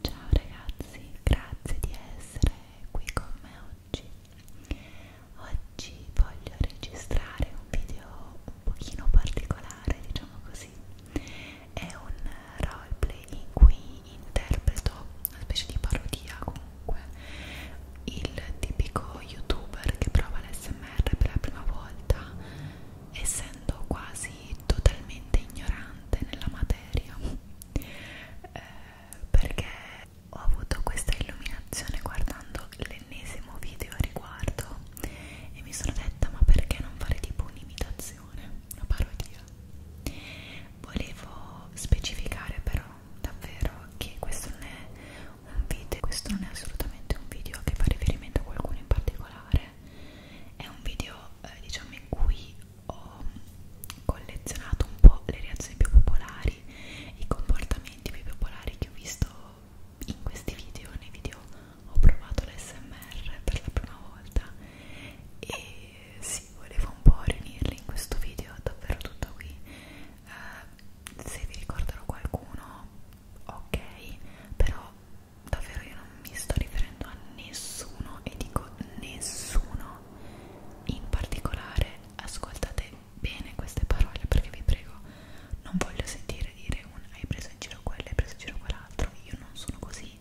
Ciao ragazzi, grazie di essere qui con me oggi. Oggi voglio registrare un video un pochino particolare, diciamo così. È un roleplay in cui interpreto una specie di parodia comunque il tipico youtuber che prova l'SMR per la prima volta essendo quasi totalmente ignorante nella materia eh, perché ho avuto questa illuminazione guardando l'ennesimo video a riguardo e mi sono detta ma perché non fare tipo un'imitazione, una parodia volevo specificare però davvero che questo non è un video questo non è assolutamente un video che fa riferimento a qualcuno in particolare è un video eh, diciamo in cui ho collezionato un po' le reazioni più popolari, i comportamenti più popolari che ho visto in questi video, nei video ho provato l'SMR per la prima volta e sì, volevo un po' riunirli in questo video, davvero tutto qui. Uh, se vi ricorderò qualcuno, ok, però davvero io non mi sto riferendo a nessuno e dico nessuno in particolare ascoltate bene queste parole perché vi prego non voglio sentire dire un hai preso in giro quello hai preso in giro quell'altro io non sono così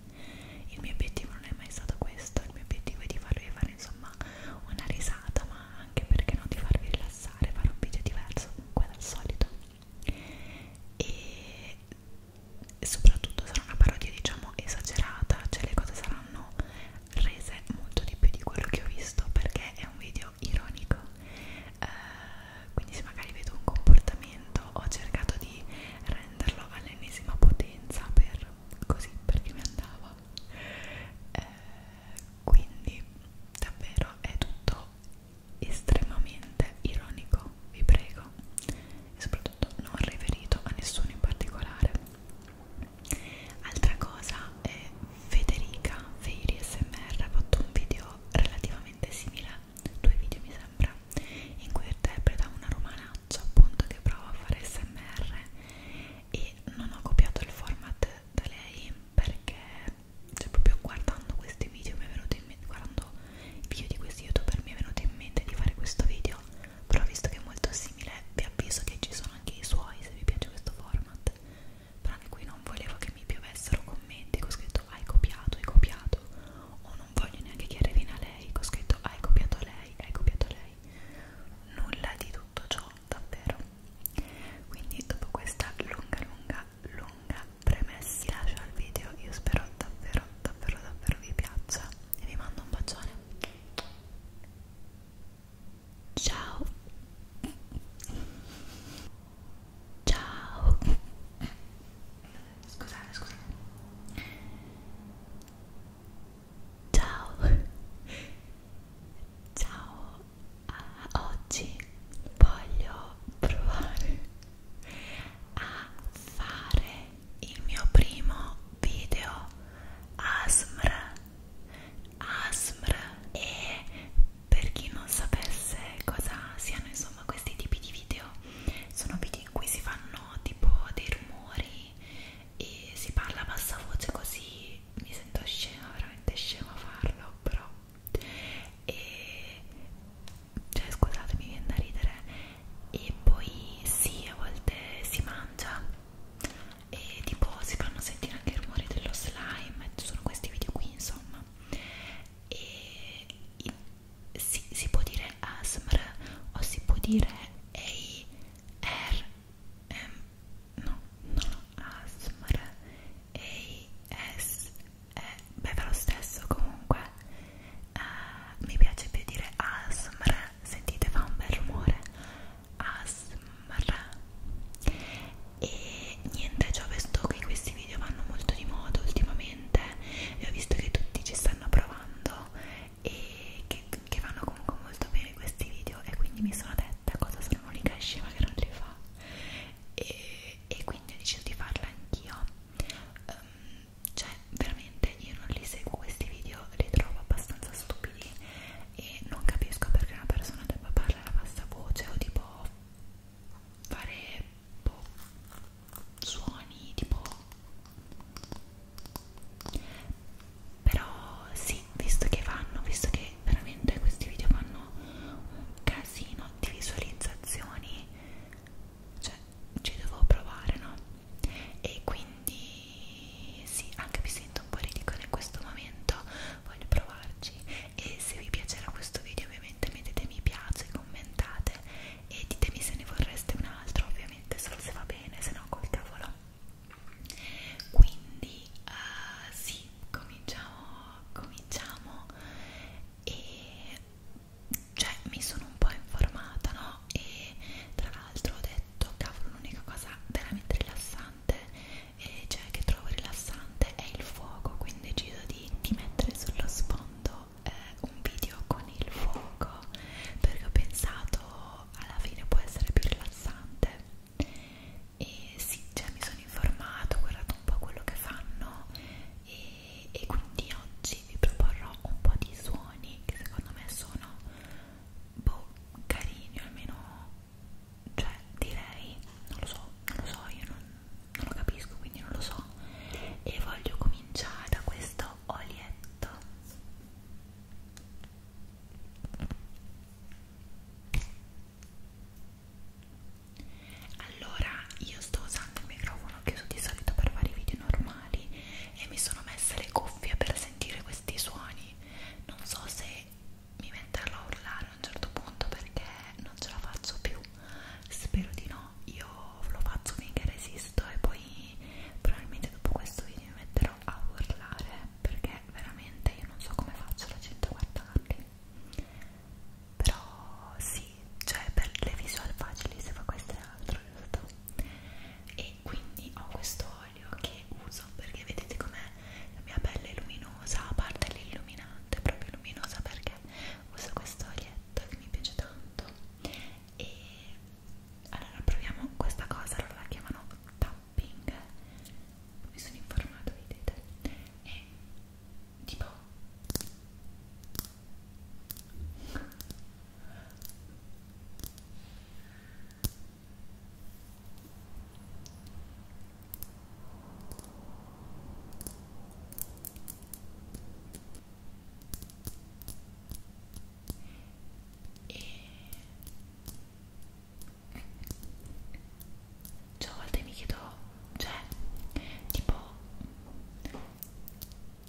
il mio obiettivo non è mai stato questo il mio obiettivo è di farvi fare insomma una risata ma anche perché no di farvi rilassare fare un video diverso qua dal solito e soprattutto sarà una parodia diciamo esagerata cioè le cose saranno rese molto di più di quello che ho visto perché è un video ironico eh, quindi se magari vedo un comportamento ho cercato di renderlo all'ennesima potenza per così perché mi andava eh, quindi davvero è tutto estremamente ironico, vi prego, e soprattutto non riferito a nessuno in particolare. Altra cosa è Federica Feiri SMR ha fatto un video relativamente simile, due video mi sembra, in cui interpreta una romanaccia appunto che prova a fare SMR e non ho copiato il format da lei perché cioè proprio guardando questi video mi è venuto in mente guardando il video di questi youtuber mi è venuto in mente di fare questo video, però visto che è molto simile vi avviso che ci sono anche i suoi se vi piace questo format. Però anche qui non volevo che mi piovessero commenti che ho scritto hai copiato, hai copiato, o non voglio neanche che arrivino a lei che ho scritto hai copiato lei, hai copiato lei. Nulla di tutto ciò, davvero. Quindi dopo questa lunga, lunga, lunga premessi lascio al video io spero davvero davvero davvero vi piaccia e vi mando un bacione ciao ciao scusate scusate ciao ciao ah, oggi voglio provare a fare il mio primo video ASMR ASMR e per chi non sapesse cosa siano insomma questi tipi di video sono video in cui si fanno tipo dei rumori e si parla a bassa voce così mi sento scema veramente scema a farlo però e cioè scusate mi viene da ridere e poi sì a volte si mangia e tipo si fanno sentire anche i rumori dello slime ci sono questi video qui insomma e si, si può dire ASMR o si può dire AR no, no, ASMR ASMR eh, beve lo stesso comunque eh, mi piace più dire ASMR sentite fa un bel rumore ASMR e niente ci ho visto che questi video vanno molto di moda ultimamente e ho visto che tutti ci stanno provando e che, che vanno comunque molto bene questi video e quindi mi sono detta cosa sono l'unica scema che non li fa e, e quindi ho deciso di farla anch'io eh, cioè veramente io non li seguo questi video li trovo abbastanza stupidi e non capisco perché una persona debba parlare a bassa voce o tipo fare boh, suoni tipo però sì visto che vanno visto che veramente questi video fanno un casino di visualizzazioni cioè ci devo provare no e quindi sì anche mi sento un po' ridicola in questo momento voglio provarci e se vi piacerà questo video ovviamente mettete mi piace commentate e ditemi se ne vorreste un altro ovviamente solo se va bene se no col cavolo quindi uh, sì cominciamo cominciamo e cioè mi sono un po' informata, no? E tra l'altro ho detto, cavolo, l'unica cosa veramente rilassante, eh, cioè che trovo rilassante, è il fuoco, quindi ho deciso di, di mettere sullo sfondo eh, un video con il fuoco, perché ho pensato alla fine può essere più rilassante. E sì, cioè mi sono informato, ho guardato un po' quello che fanno e, e quindi oggi vi proporrò un po' di suoni che secondo me sono boh, carini almeno cioè direi non lo so non lo so io non, non lo capisco quindi non lo so e voglio cominciare da questo olietto allora io sto usando il microfono chiuso di solito per fare i video normali e mi sono messa le cuffie per sentire questi suoni non so se mi metterò a urlare a un certo punto perché non ce la faccio più spero di no io lo faccio finché resisto e poi probabilmente dopo questo video mi metterò a urlare perché veramente io non so come faccio la gente a guardarli però sì, cioè per le visual facili si fa questo e altro, giusto? E quindi ho questo olio che uso perché vedete com'è la mia pelle è luminosa, a parte l'illuminante, proprio luminosa perché uso questo olietto che mi piace tanto e allora proviamo questa cosa, loro la chiamano tapping mi sono informato, vedete? E tipo e cioè, a volte mi chiedo, cioè, tipo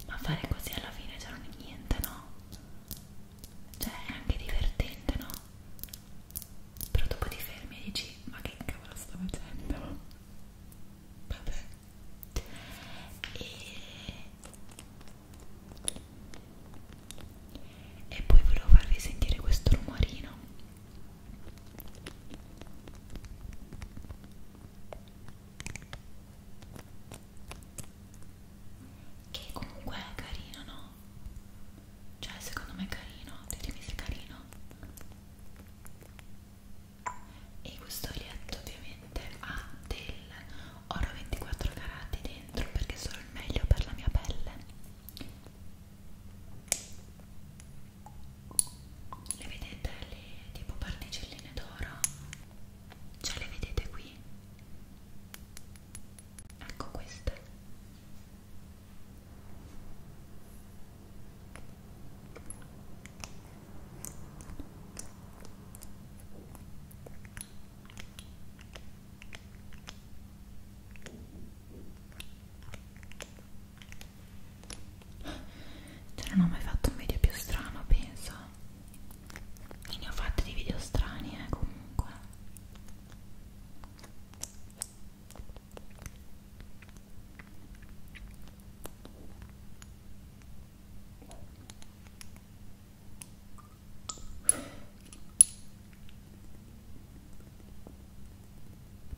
ma fare così alla fine cioè non è niente no? cioè è anche divertente no? però dopo ti fermi e dici ma che cavolo sto facendo? vabbè e... e poi volevo farvi sentire questo rumorino che comunque è carino, no? Cioè, secondo me è carino, ditemi se è carino. E questo lietto ovviamente ha del oro 24 carati dentro perché sono il meglio per la mia pelle le vedete le tipo particelline d'oro? ce cioè, le vedete qui? ecco queste cioè non ho mai fatto un video più strano, penso. E ne ho fatti di video strani, eh, comunque.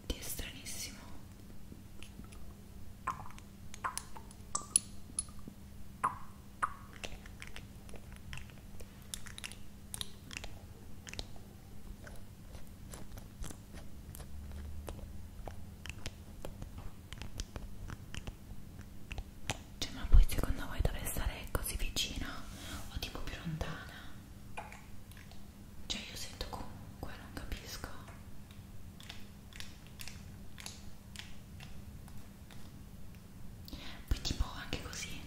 Ti è stranissimo. Cioè, ma poi secondo voi dovrei stare così vicina o tipo più lontana? cioè io sento comunque non capisco poi tipo anche così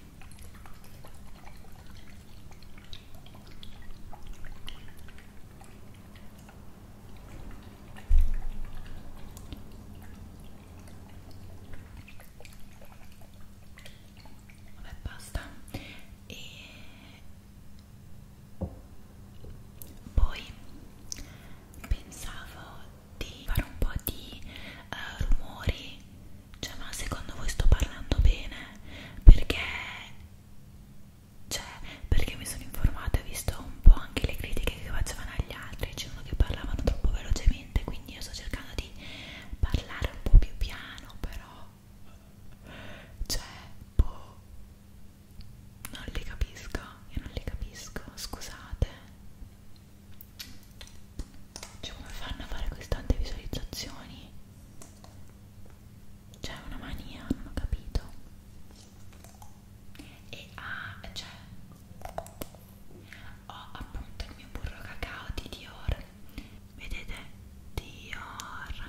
Vabbè basta e poi pensavo di fare un po' di uh, rumori, cioè ma secondo voi sto parlando bene? Perché, cioè, perché mi sono informata e ho visto un po' anche le critiche che facevano agli altri, dicevano che parlavano troppo velocemente, quindi io sto cercando di parlare un po' più piano, però, cioè, boh non li capisco, io non li capisco, scusate cioè come fanno a fare così tante visualizzazioni? c'è cioè, una mania, non ho capito e ah, cioè ho appunto il mio burro cacao di Dior vedete? Dior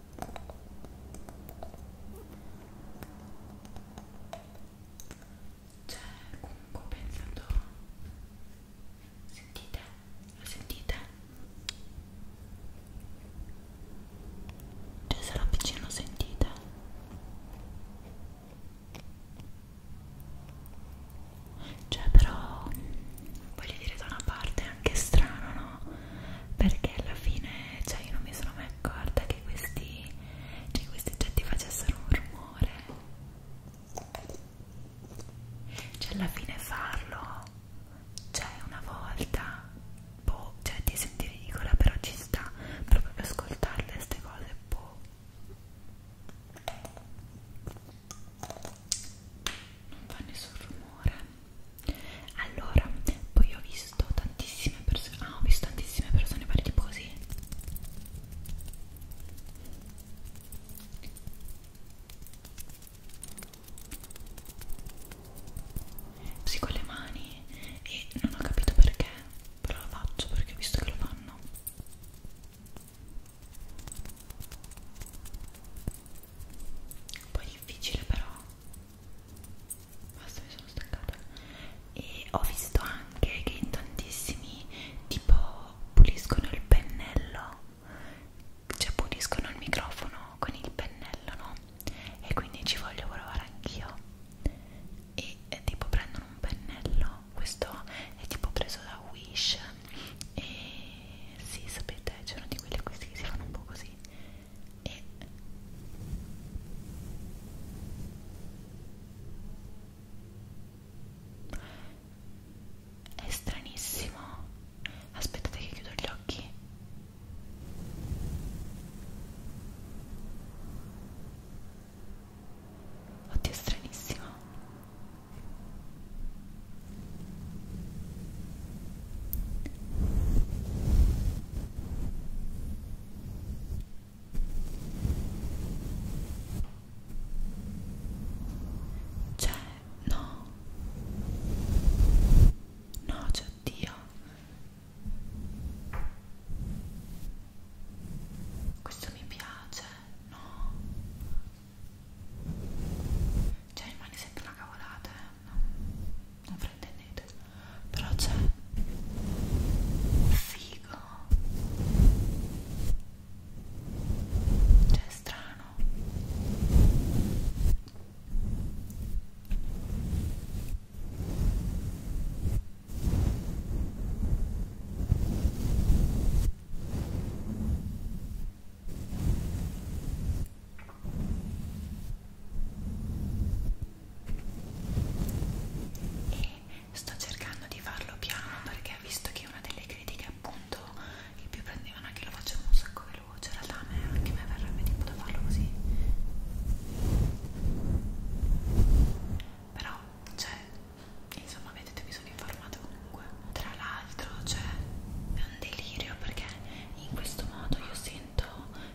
Cioè, comunque ho pensato... Sentite? Lo sentite? Cioè, se lo avvicino sentite? Cioè, però... Voglio dire, da una parte è anche strano, no? perché alla fine cioè io non mi sono mai accorta che questi cioè questi oggetti facessero un rumore cioè alla fine farlo cioè una volta boh cioè ti senti ridicola però ci sta proprio per ascoltarle queste cose boh non fa nessun rumore allora poi ho visto tantissime persone ah ho visto tantissime persone fare tipo così così con le mani e non ho capito perché però lo faccio perché ho visto che lo fanno un po' difficile però basta mi sono stancata e ho visto anche che in tantissimi tipo puliscono il pennello cioè puliscono il microfono con il pennello no e quindi ci voglio provare anch'io e, e tipo prendono un pennello questo è tipo preso da Wish e sì sapete c'è uno di quelli acquisti che si fanno un po' così e è stranissimo aspettate che chiudo gli occhi oddio è stranissimo cioè, no. No, c'è Dio. Questo mi piace, no. Cioè, rimane sempre una cavolata, eh non, non fraintendete però c'è figo cioè strano e sto cercando di farlo piano perché visto che una delle critiche appunto il più prendevano è che lo facevo un sacco veloce in realtà a me anche me verrebbe tipo da farlo così però cioè insomma vedete mi sono informata comunque tra l'altro cioè è un delirio perché in questo modo io sento sento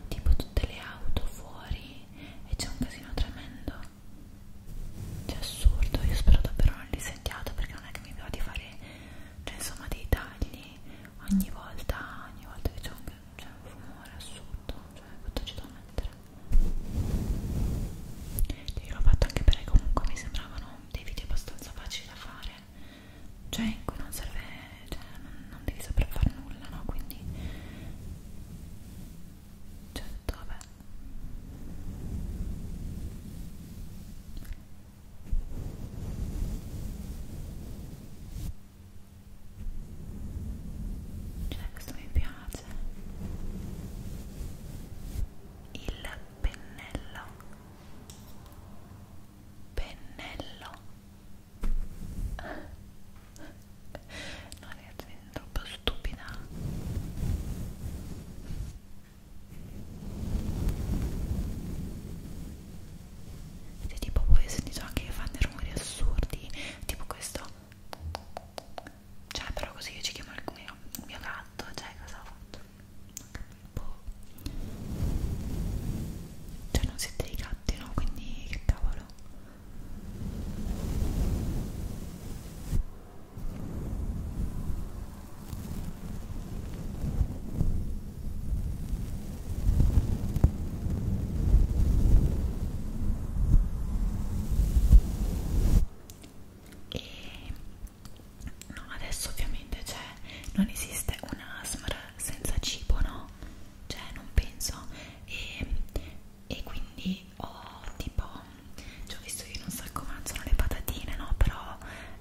tipo tutte le auto fuori e c'è un casino tremendo è cioè, assurdo io spero davvero non li sentiate perché non è che mi va di fare cioè insomma dei tagli ogni volta ogni volta che c'è un, un rumore assurdo cioè tutto ci devo mettere io l'ho fatto anche perché comunque mi sembravano dei video abbastanza facili da fare cioè in cui non serve cioè non, non devi saper fare nulla no quindi cioè detto vabbè cioè questo mi piace il pennello pennello no ragazzi mi sento troppo stupida se tipo poi ho sentito anche che fanno dei rumori assurdi tipo questo cioè però così io ci chiamo il mio, il mio gatto cioè cosa ho fatto ok boh. Cioè non siete dei gatti, no? Quindi che cavolo. E no, adesso ovviamente c'è cioè, non esiste un ASMR senza cibo, no? Cioè, non penso. E, e quindi ho oh, tipo, ci ho visto che non so come sono le patatine, no? Però,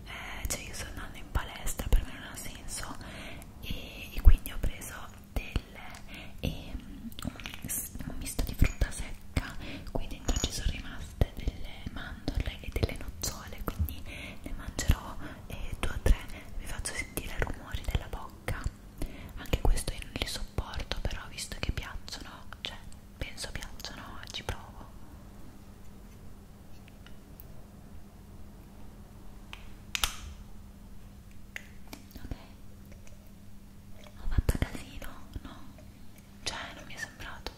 eh, cioè, io sto andando in palestra, per me non ha senso. E, e quindi ho preso delle, e, un, un misto di frutta secca. Qui dentro ci sono rimaste delle mandorle e delle nocciole, quindi ne mangerò e due o tre vi faccio sentire i rumori della bocca anche questo io non li sopporto però visto che piacciono cioè penso piacciono ci provo ok ho fatto casino no cioè non mi è sembrato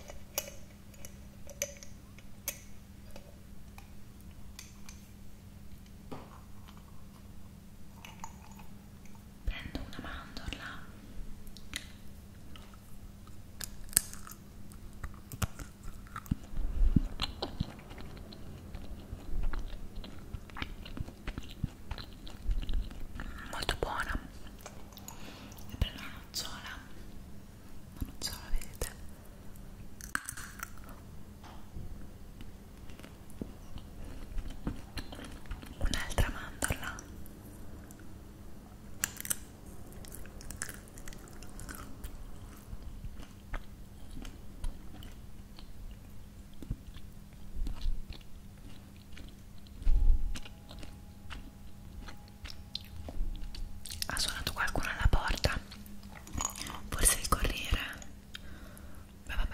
prendo una mandorla molto buona e prendo una nocciola una nocciola vedete un'altra mandorla ha suonato qualcuno alla porta forse il corriere beh vabbè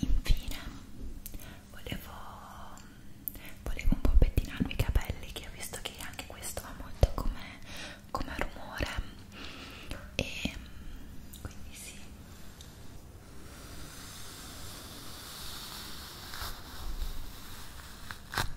Infine, volevo, volevo un po' pettinarmi i capelli, che ho visto che anche questo va molto come, come rumore, e quindi sì. Ecco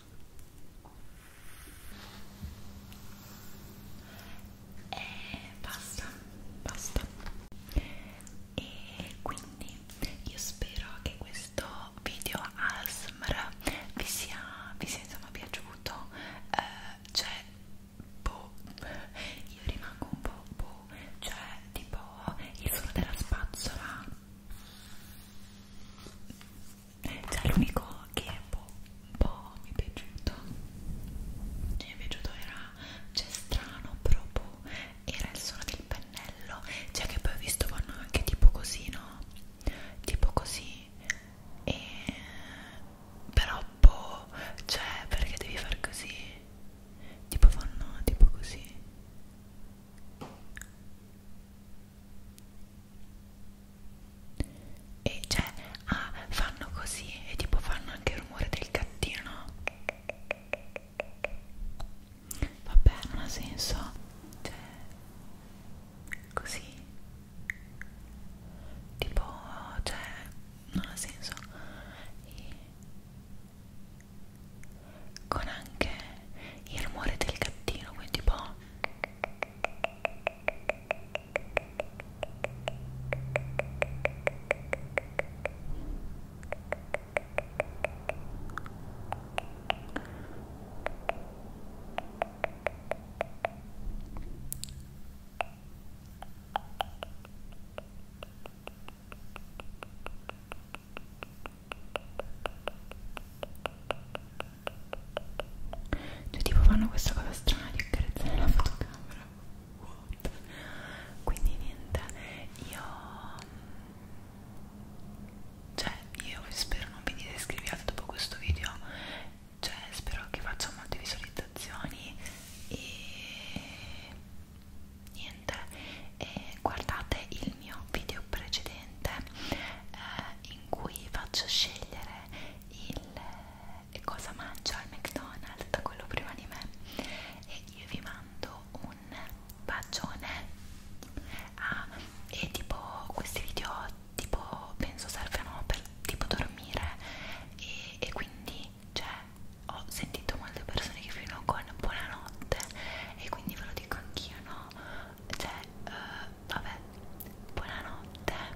e eh, basta basta e quindi io spero che questo video ASMR vi sia, vi sia insomma piaciuto eh, cioè boh io rimango un po' boh cioè tipo il suono della spazzola cioè l'unico che un po', un po' mi è piaciuto mi è piaciuto era cioè strano proprio boh, era il suono del pennello cioè che poi ho visto vanno anche tipo così no tipo così e però boh cioè perché devi far così tipo fanno tipo così e cioè ah, fanno così e tipo fanno anche il rumore del gattino vabbè non ha senso cioè così tipo cioè non ha senso e con anche il rumore del gattino quindi un po' Cioè tipo fanno questa cosa strana di accarezzare la fotocamera What? Quindi niente, io... Mm, cioè io spero non vi disiscriviate dopo questo video Cioè spero che faccia molte visualizzazioni E... Niente E guardate il mio video precedente differente eh, in cui faccio scegliere il, eh, cosa mangio al McDonald's da quello prima di me e io vi mando un bacione ah, e tipo questi video tipo penso servono per tipo dormire e, e quindi cioè ho sentito molte persone che fino con buonanotte e quindi ve lo dico anch'io no cioè uh, vabbè buonanotte